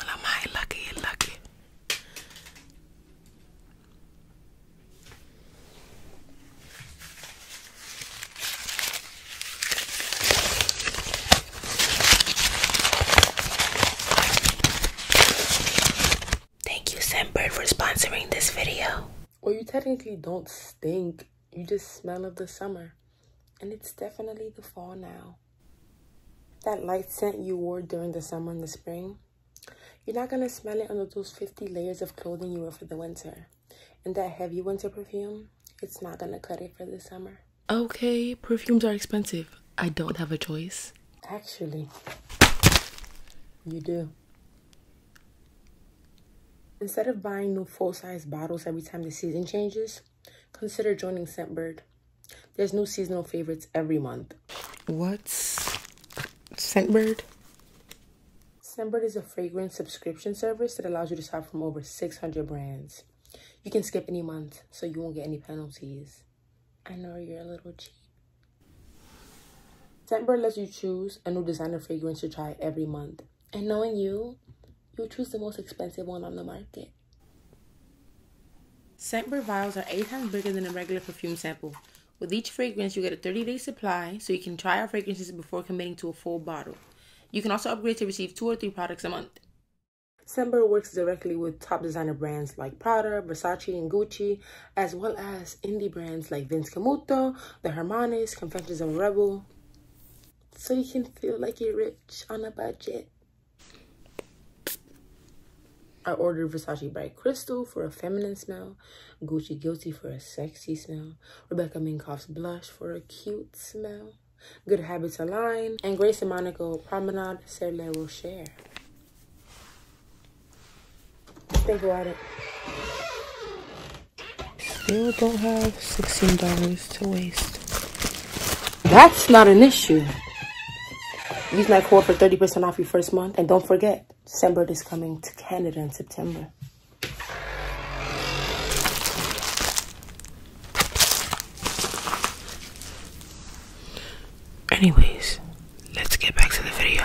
Well, am I lucky? Lucky. Thank you, Scentbird, for sponsoring this video. Well, you technically don't stink. You just smell of the summer and it's definitely the fall now. That light scent you wore during the summer and the spring, you're not going to smell it under those 50 layers of clothing you wear for the winter. And that heavy winter perfume, it's not going to cut it for the summer. Okay, perfumes are expensive. I don't have a choice. Actually, you do. Instead of buying new full-size bottles every time the season changes, consider joining Scentbird. There's new seasonal favorites every month. What's Scentbird? Scentbird is a fragrance subscription service that allows you to shop from over 600 brands. You can skip any month, so you won't get any penalties. I know you're a little cheap. Scentbird lets you choose a new designer fragrance to try every month. And knowing you, you choose the most expensive one on the market. Scent vials are eight times bigger than a regular perfume sample. With each fragrance, you get a 30 day supply so you can try our fragrances before committing to a full bottle. You can also upgrade to receive two or three products a month. Sember works directly with top designer brands like Prada, Versace, and Gucci, as well as indie brands like Vince Camuto, The Hermanes, Confessions of a Rebel, so you can feel like you're rich on a budget. I ordered Versace Bright Crystal for a feminine smell, Gucci Guilty for a sexy smell, Rebecca Minkoff's Blush for a cute smell, Good Habits Align, and Grace and Monaco Promenade Serre La Rochère. Think about it. Still don't have $16 to waste. That's not an issue. Use my code for 30% off your first month. And don't forget, December is coming to Canada in September. Anyways, let's get back to the video.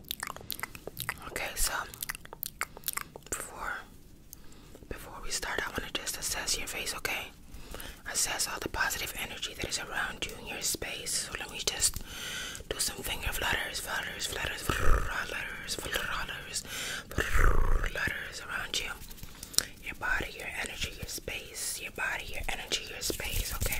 Okay, so before before we start, I want to just assess your face, okay? Assess all the positive energy that is around you in your space. So let me just do some finger flutters, flutters, flutters, flutters, flutters, flutters around you. Your body, your energy, your space. Your body, your energy, your space. Okay.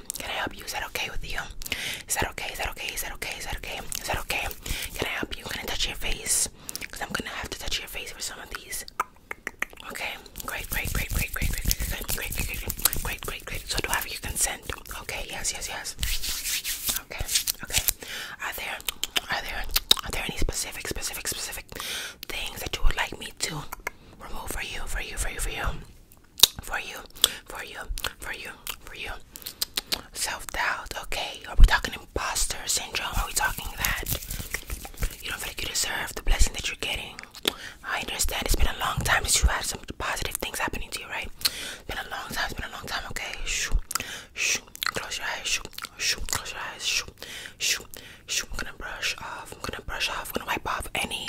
Can I help you? Is that okay with you? Is that okay? Is that okay? Is that okay? Is that okay? Is that okay? Can I help you? Can I touch your face? Because I'm gonna have to touch your face for some of these. Okay, great, great, great, great, great, great, great, great, great, great, great, great, great. So do I have your consent? Okay, yes, yes, yes. Okay, okay. Are there are there are there any specific specific specific things that you would like me to remove for you, for you, for you, for you? for you, for you, for you, for you. Self doubt, okay? Are we talking imposter syndrome? Are we talking that you don't feel like you deserve the blessing that you're getting? I understand it's been a long time since you had some positive things happening to you, right? It's been a long time, it's been a long time, okay? Shoo, shoo, close your eyes, shoo, shoo, close your eyes, shoo, shoo, shoo. I'm gonna brush off, I'm gonna brush off, I'm gonna wipe off any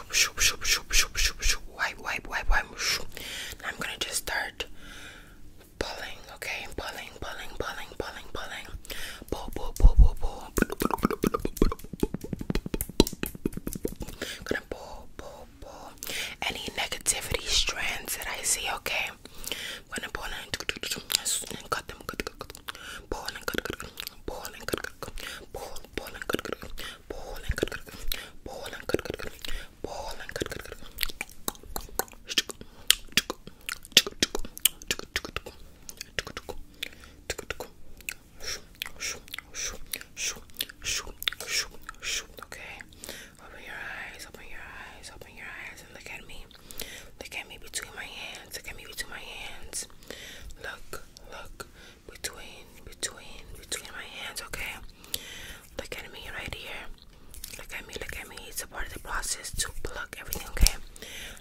wipe, wipe, wipe, wipe. I'm gonna just start pulling, okay? Pulling, pulling, pulling, pulling, pulling. Pull, pull, pull, pull, pull. Gonna pull, pull, pull. Any negativity strands that I see, okay? Gonna pull and cut them. Pull and pull and pull Bowling, good, good, good. Bowling, good, good, good. Bowling, good, good, good. Bowling, good, good, good. Okay. Open your eyes, open your eyes, open your eyes, and look at me. Look at me between my hands. Look at me between my hands. Look, look, between between between my hands okay look at me right here look at me look at me it's a part of the process to pluck everything okay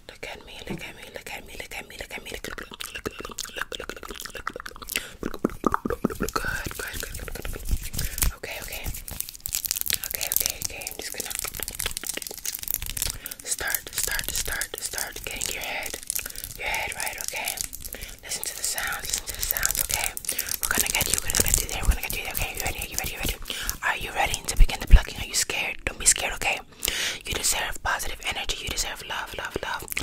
look at me look at me look at me look at me look at me look look look look look look okay okay okay okay okay I'm just gonna Start, start, start, start getting your head, your head right, okay? Listen to the sound, listen to the sounds, okay? We're gonna get you, we're gonna get you there, we're gonna get you there, okay? You ready, are you ready, you ready? Are you ready to begin the plucking? Are you scared? Don't be scared, okay? You deserve positive energy, you deserve love, love, love. You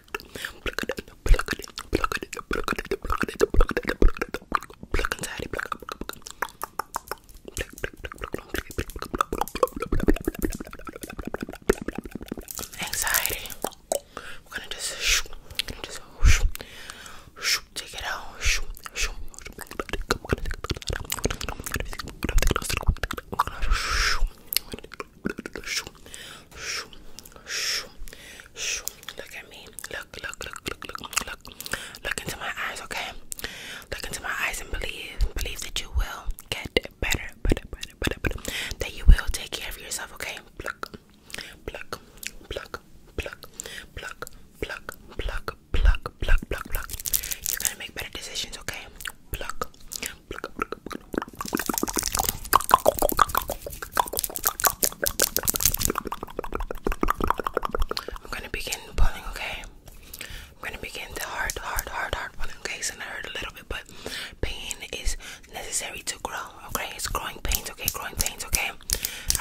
Anxiety. We're gonna just shoo, gonna just shoo, shoo, take it out, shoo, shoo. We're gonna shoo, Look at me. Look, look, look, look, look, look. Look into my eyes, okay? Look into my eyes and believe. Believe that you will get better, better, better, better, better. That you will take care of yourself, okay? Pluck, pluck, pluck, pluck, pluck, pluck, pluck, pluck, pluck, pluck, pluck. You're gonna make better decisions, okay? Pluck, pluck, pluck, pluck, I'm gonna begin pulling, okay? I'm gonna begin the hard, hard, hard, hard pulling, okay? So I hurt a little bit, but pain is necessary to grow, okay? It's growing pains, okay? Growing pains, okay?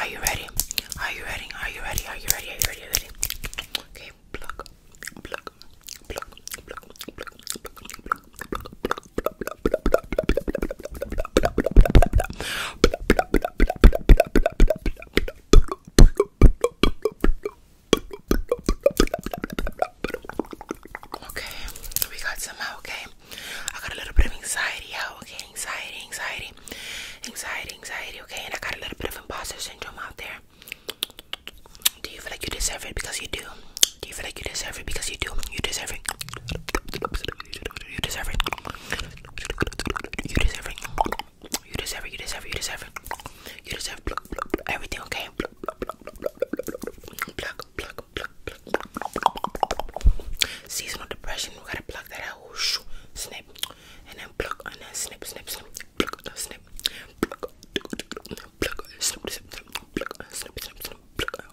Are you ready? Are you ready? Are you ready? Are you ready? Are you ready? Okay, Okay, we got some okay? I got a little bit of anxiety out, okay? Anxiety, anxiety, anxiety, anxiety, okay? And I got a little bit of imposter syndrome out there. Do you feel like you deserve it? Because you do. Do you feel like you deserve it? Because you do. You deserve it. You deserve it. You deserve it. You deserve it. You deserve it. You deserve it. You deserve everything. Okay. Pluck, pluck, pluck, pluck. Seasonal depression. We gotta pluck that out. Snip, and then pluck, and then snip, snip, snip, pluck, snip, pluck, pluck, we're gonna just pull, pluck, pluck,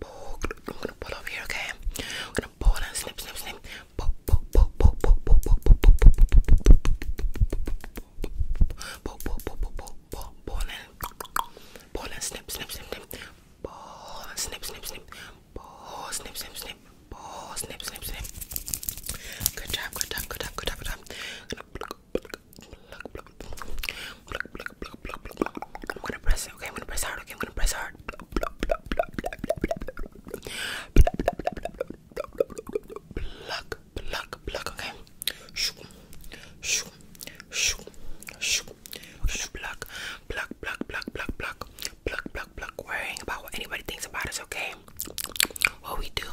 pull. I'm gonna pull over here, okay? I'm gonna pull and snip, snip, snip. Pull, pull, pull, pull, pull, pull, pull, pull, pull, pull, pull, pull, pull, pull, pull, pull, pull, pull, and pull and snip, snip, snip, snip. Pull and snip, snip, snip. Pull, snip, snip, snip. Pull, snip, snip, snip. Good job, good job, good job, good job, good job. Gonna pluck, I'm gonna press it. Okay, I'm gonna press hard. Okay, I'm gonna press hard. Pluck, pluck, pluck. Okay. Shoo, shoo, shoo, shoo. I'm gonna pluck, pluck, pluck, pluck, pluck, pluck, pluck, pluck, pluck. Worrying about what anybody thinks about us. Okay like what we do,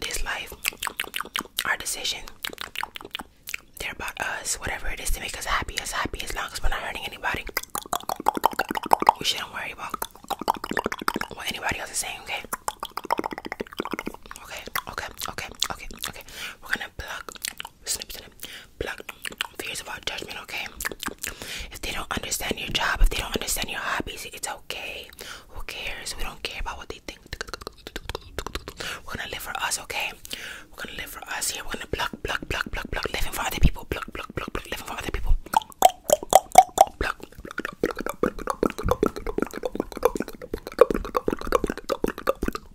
this life, our decision, they're about us, whatever it is to make us happy, us happy as long as we're not hurting anybody. We shouldn't worry about what anybody else is saying, okay? Okay, okay, okay, okay, okay. We're gonna plug snip snip plug fears about judgment, okay? If they don't understand your job, if they don't understand your hobbies, it's okay. Who cares? We don't care about what they think. We're gonna live for us, okay? We're gonna live for us here. We're gonna pluck, pluck, pluck, pluck, pluck, living for other people. Pluck, pluck, pluck, pluck, living for other people. Pluck.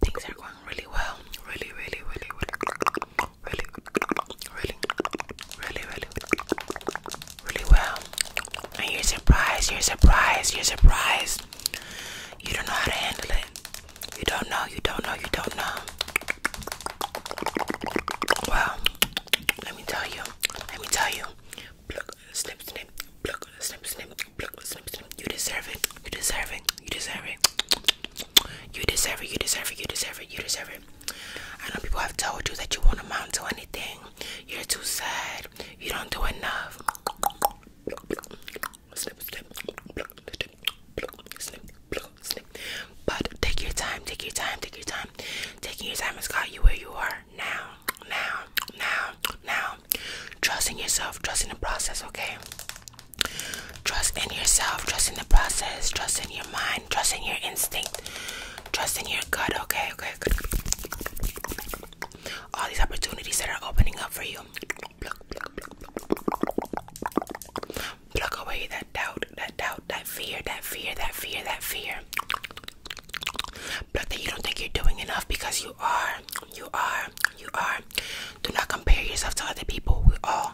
Things are going really well. Really, really, really, really, really, really, really, really, really, really well. And you're surprised, you're surprised, you're surprised. You don't know how to handle it. You don't know, you don't know, you don't know. Well, let me tell you, let me tell you. Pluck, snip, snip, pluck, snip, snip, pluck, snip, snip. You deserve it, you deserve it, you deserve it. You deserve it, you deserve it, you deserve it, you deserve it. I know people have told you that you won't amount to anything. You're too sad. You don't do enough. But take your time, take your time, take your time. Taking your time has got you where you are now, now, now, now. Trust in yourself, trust in the process, okay? Trust in yourself, trust in the process, trust in your mind, trust in your instinct. Trust in your gut, okay? Okay, good. All these opportunities that are opening up for you. Pluck, pluck, pluck. Pluck away that doubt, that doubt, that fear, that fear, that fear, that fear. Pluck that you don't think you're doing enough because you are, you are, you are. Do not compare yourself to other people. We all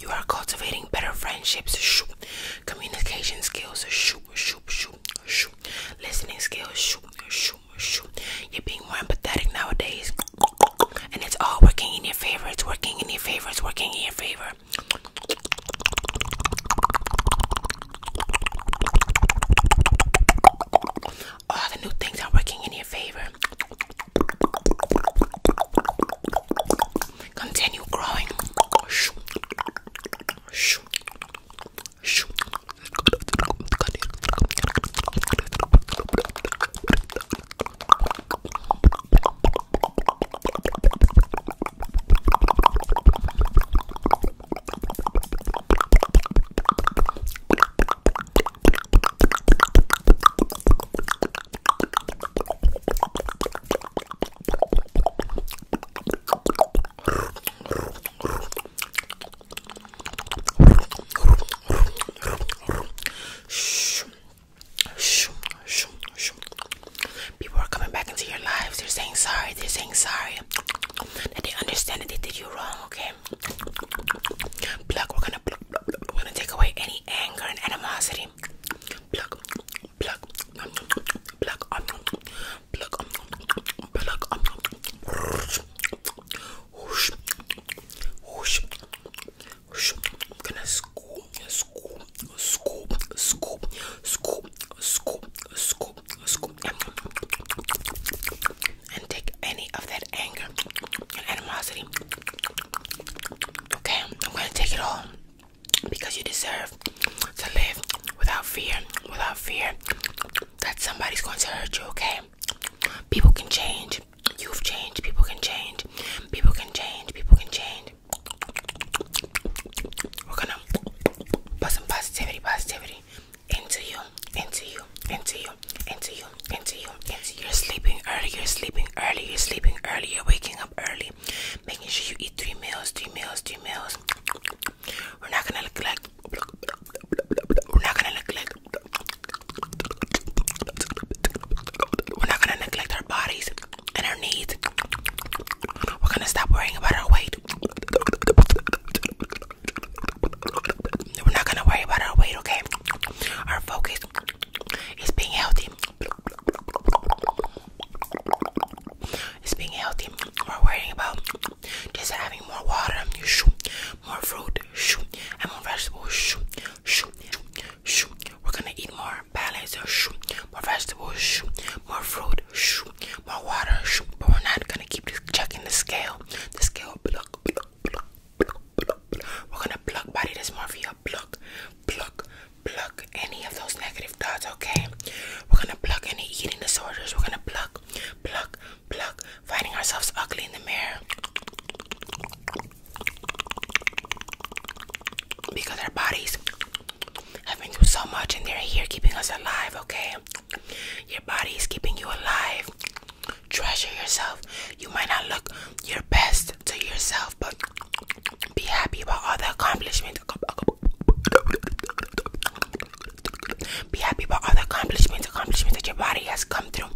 you are cultivating better friendships. communication skills. Listening skills. You're being more empathetic nowadays, and it's all working in your favor. It's working in your favor. It's working in your favor all the new things are working in your favor. Continue growing. People are coming back into your lives. They're saying sorry. They're saying sorry. That they understand that they did you wrong, okay? Pluck. We're gonna pluck, pluck, pluck. We're gonna take away any anger and animosity. Pluck, pluck, pluck, um, pluck, um, pluck, um, whoosh, whoosh, whoosh, whoosh. I'm gonna scoop, scoop, scoop, scoop, scoop, scoop, scoop, scoop, scoop and take any of that anger animosity. Okay, I'm gonna take it all because you deserve to live without fear. Without fear that somebody's going to hurt you, okay? People can change. You've changed. People can change. People can change. People can change. We're gonna put some positivity, positivity, into you, into you, into you, into you, into you, into you. You're sleeping early, you're sleeping early, you're sleeping early, you're waking up early, making sure you eat three meals, three meals, three meals. We're not gonna neglect. We're not gonna neglect. We're not gonna neglect our bodies and our needs. We're gonna stop worrying about our weight. We're not gonna worry about our weight, okay? Our focus is being healthy. It's being healthy. We're worrying about just having more water, more fruit, and more vegetables. We're gonna eat more balanced, more vegetables, more fruit, more water. But we're not gonna keep checking the scale. The scale pluck, pluck, pluck, pluck, pluck. We're gonna pluck body dysmorphia. Pluck, pluck, pluck any of those negative thoughts, okay? We're gonna pluck any eating disorders. We're gonna pluck, pluck, pluck, finding ourselves ugly in the mirror. Because our bodies have been through so much and they're here keeping us alive, okay? Your body is keeping you alive. Treasure yourself. You might not look your best to yourself, but be happy about all the accomplishments. Be happy about all the accomplishments, accomplishments that your body has come through.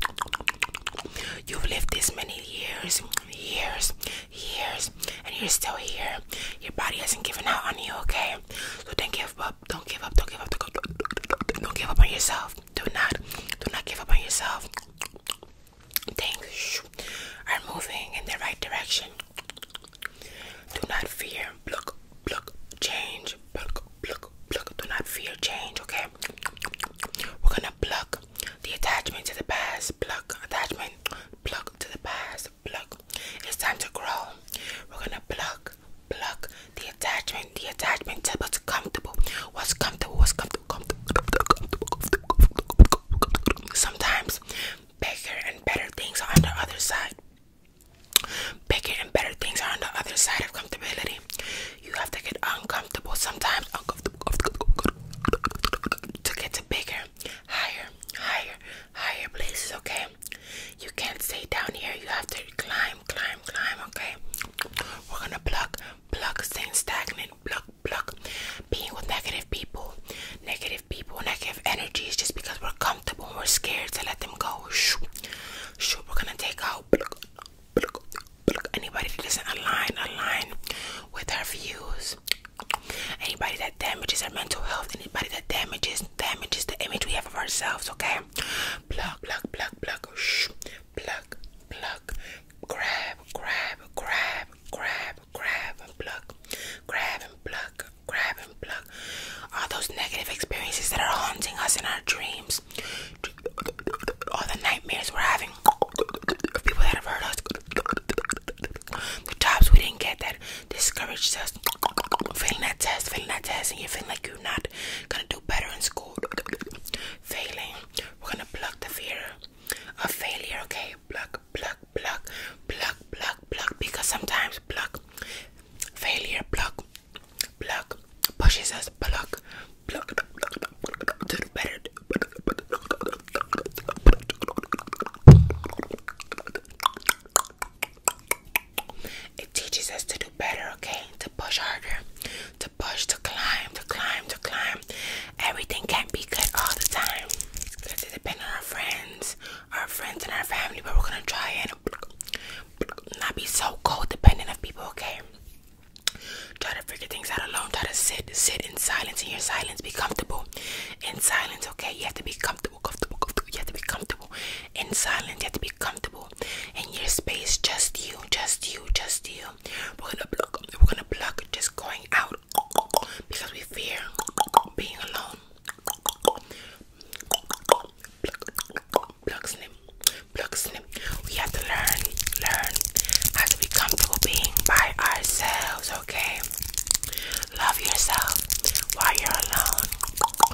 You've lived this many years, years, years, and you're still here. Your body hasn't given out on you, okay? So don't give don't give up. Don't give up. Don't give up on yourself. Do not. Do not give up on yourself. Things are moving in the right direction. Do not fear. Look. Look. Change. Look. Look. Look. Do not fear change. Okay. We're gonna pluck the attachment to the past. Pluck attachment. Pluck to the past. Pluck. It's time to grow. We're gonna pluck. Pluck the attachment, the attachment tip what's comfortable. What's comfortable, what's comfortable, comfortable, comfortable, Sometimes bigger and better things are on the other side. Bigger and better things are on the other side of comfortability. You have to get uncomfortable sometimes, uncomfortable, uncomfortable to get to bigger, higher, higher, higher places, okay? You can't stay down here. You have to climb, climb, climb. Okay. We're gonna pluck, pluck, staying stagnant, pluck, pluck. Being with negative people, negative people, negative energies. Just because we're comfortable, and we're scared to let them go. Shoo, shoo. We're gonna take out. Pluck, pluck, pluck. Anybody that doesn't align, align with our views. Anybody that damages our mental health, anybody that damages damages the image we have of ourselves, okay? pluck, pluck, pluck, pluck, shh, pluck, pluck, grab, grab, grab, grab, grab, and pluck, grab and pluck, grab and pluck. All those negative experiences that are haunting us in our dreams, all the nightmares we're having, people that have hurt us, the jobs we didn't get that discouraged us, failing that test, failing that test, and you feel like you're not not gonna do better in school. Failing. We're gonna pluck the fear of failure, okay? Pluck, pluck, pluck, pluck, pluck, pluck. Because sometimes pluck, failure, pluck, pluck, pushes us, pluck, pluck, pluck, pluck, to do better. It teaches us to do better, okay? To push harder, to push, to climb, to climb, to climb. Everything can't be good all the time. It's going to depend on our friends, our friends and our family, but we're gonna try and not be so cold, depending on people, okay? Try to figure things out alone. Try to sit, sit in silence. In your silence, be comfortable. In silence, okay? You have to be comfortable, comfortable, comfortable. You have to be comfortable. In silence, you have to be comfortable. In your space just you just you just you we're gonna pluck we're gonna pluck just going out because we fear being alone pluck, pluck snip pluck snip we have to learn learn how to be comfortable being by ourselves okay love yourself while you're alone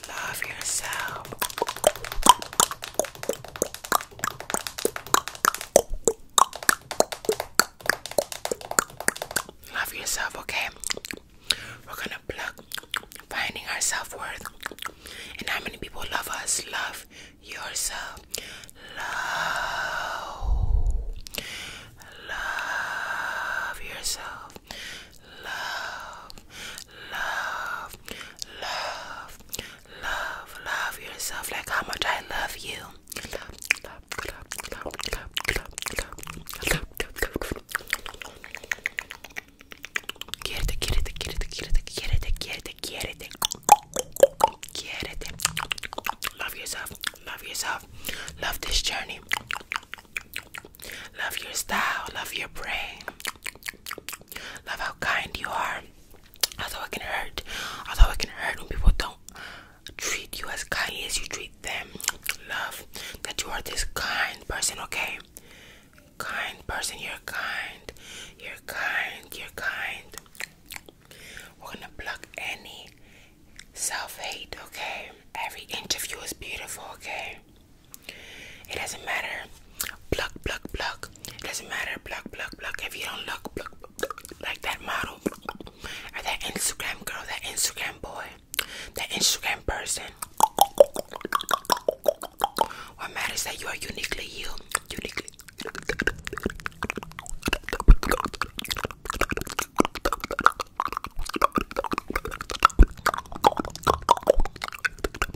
Love yourself. Love yourself, okay? We're gonna plug finding our self worth. And how many people love us? Love yourself. Love. Love yourself love, love, love, love, love yourself like how much I love you. Quiérete, quiérete, quiérete, quiérete, quiérete, quiérete, quiérete. Quiérete. Love yourself. Love yourself. Love this journey. Love your style, love your brain, love how kind you are. Although it can hurt, although it can hurt when people don't treat you as kindly as you treat them. Love that you are this kind person, okay? Kind person, you're kind, you're kind, you're kind. We're gonna block any self hate, okay? Every interview of is beautiful, okay? It doesn't matter. Pluck, pluck, pluck. It doesn't matter. Pluck, pluck, pluck. If you don't look, pluck, pluck, like that model or that Instagram girl, that Instagram boy, that Instagram person. What matters is that you are uniquely you. Uniquely.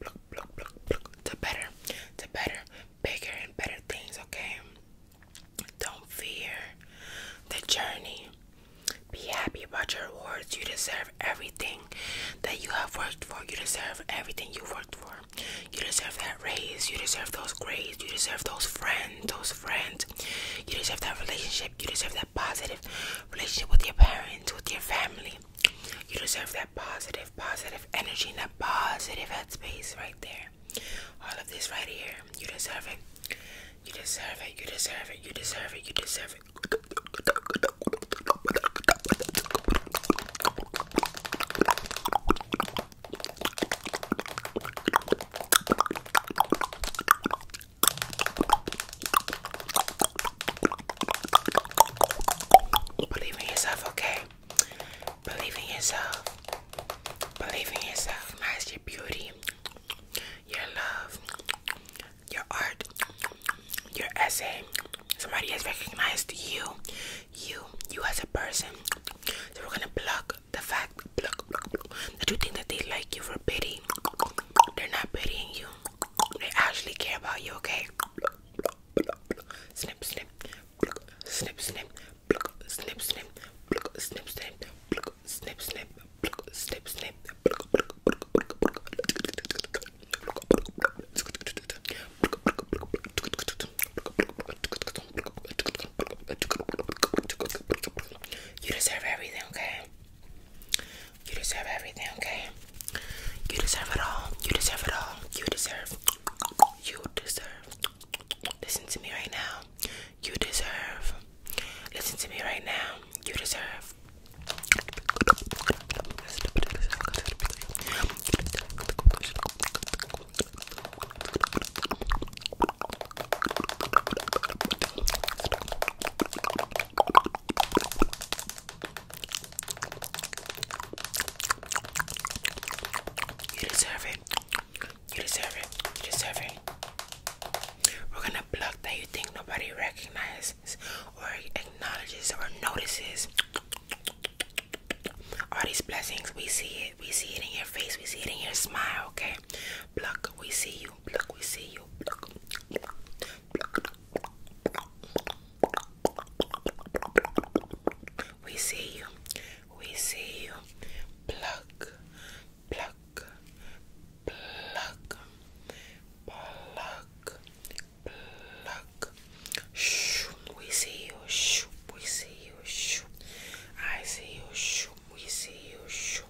pluck, better, to better, bigger and better things, okay? Don't fear the journey. Be happy about your awards. You deserve everything that you have worked for. You deserve everything you worked for. You deserve that raise. You deserve those grades. You deserve those friends. Those friends. You deserve that relationship. You deserve that positive relationship with your parents, with your family. You deserve that positive, positive energy and that positive headspace right there. All of this right here. You deserve it. You deserve it. You deserve it. You deserve it. You deserve it. Believe in yourself, okay? Believe in yourself. Believe in yourself. Nice your beauty, your love, your art, your essay. Somebody has recognized you, you, you as a person. So we're gonna block the fact block, block, block, that you think that they like you for pity. They're not pitying you. They actually care about you, okay? Snip, snip, snip, snip, snip, snip, snip, snip, snip, snip, snip, snip, snip. You deserve everything, okay? You deserve everything, okay? You deserve it all. You deserve it all. You deserve. You deserve. Listen to me right now. You deserve. Listen to me right now. You deserve. You deserve it. You deserve it. You deserve it. We're gonna block that you think nobody recognizes or acknowledges or notices. All these blessings, we see it. We see it in your face. We see it in your smile, okay? Block, we see you you, pluck, we see you, pluck, pluck, pluck. We see you, we see you, pluck, pluck, pluck, pluck, pluck. Shh, we see you, shh, we see you, shh. I see you, shh, we see you, shh,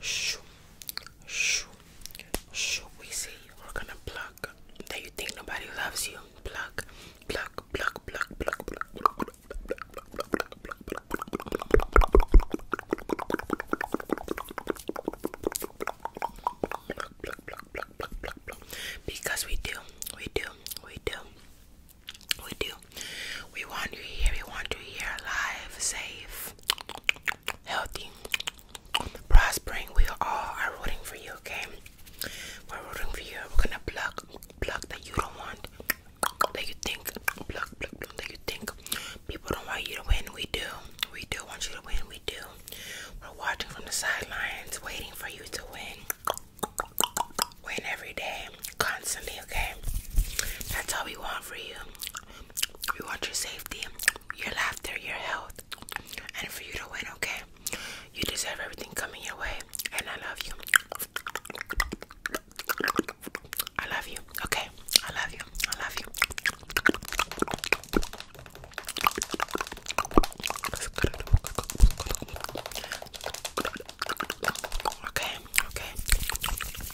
shh, shh should we see we're gonna pluck that you think nobody loves you pluck pluck pluck pluck pluck pluck pluck pluck because we do we do we do we do we want you here we want you here alive safe healthy prospering. We all are rooting for you, okay? We're rooting for you. We're gonna pluck, pluck that you don't want, that you think, pluck, pluck, pluck, that you think people don't want you to win. We do. We do want you to win. We do. We're watching from the sidelines, waiting for you to win. Win every day, constantly, okay? That's all we want for you. We want your safety your laughter, your health, and for you to win, okay? You deserve everything coming your way, and I love you. I love you, okay? I love you. I love you. Okay, okay.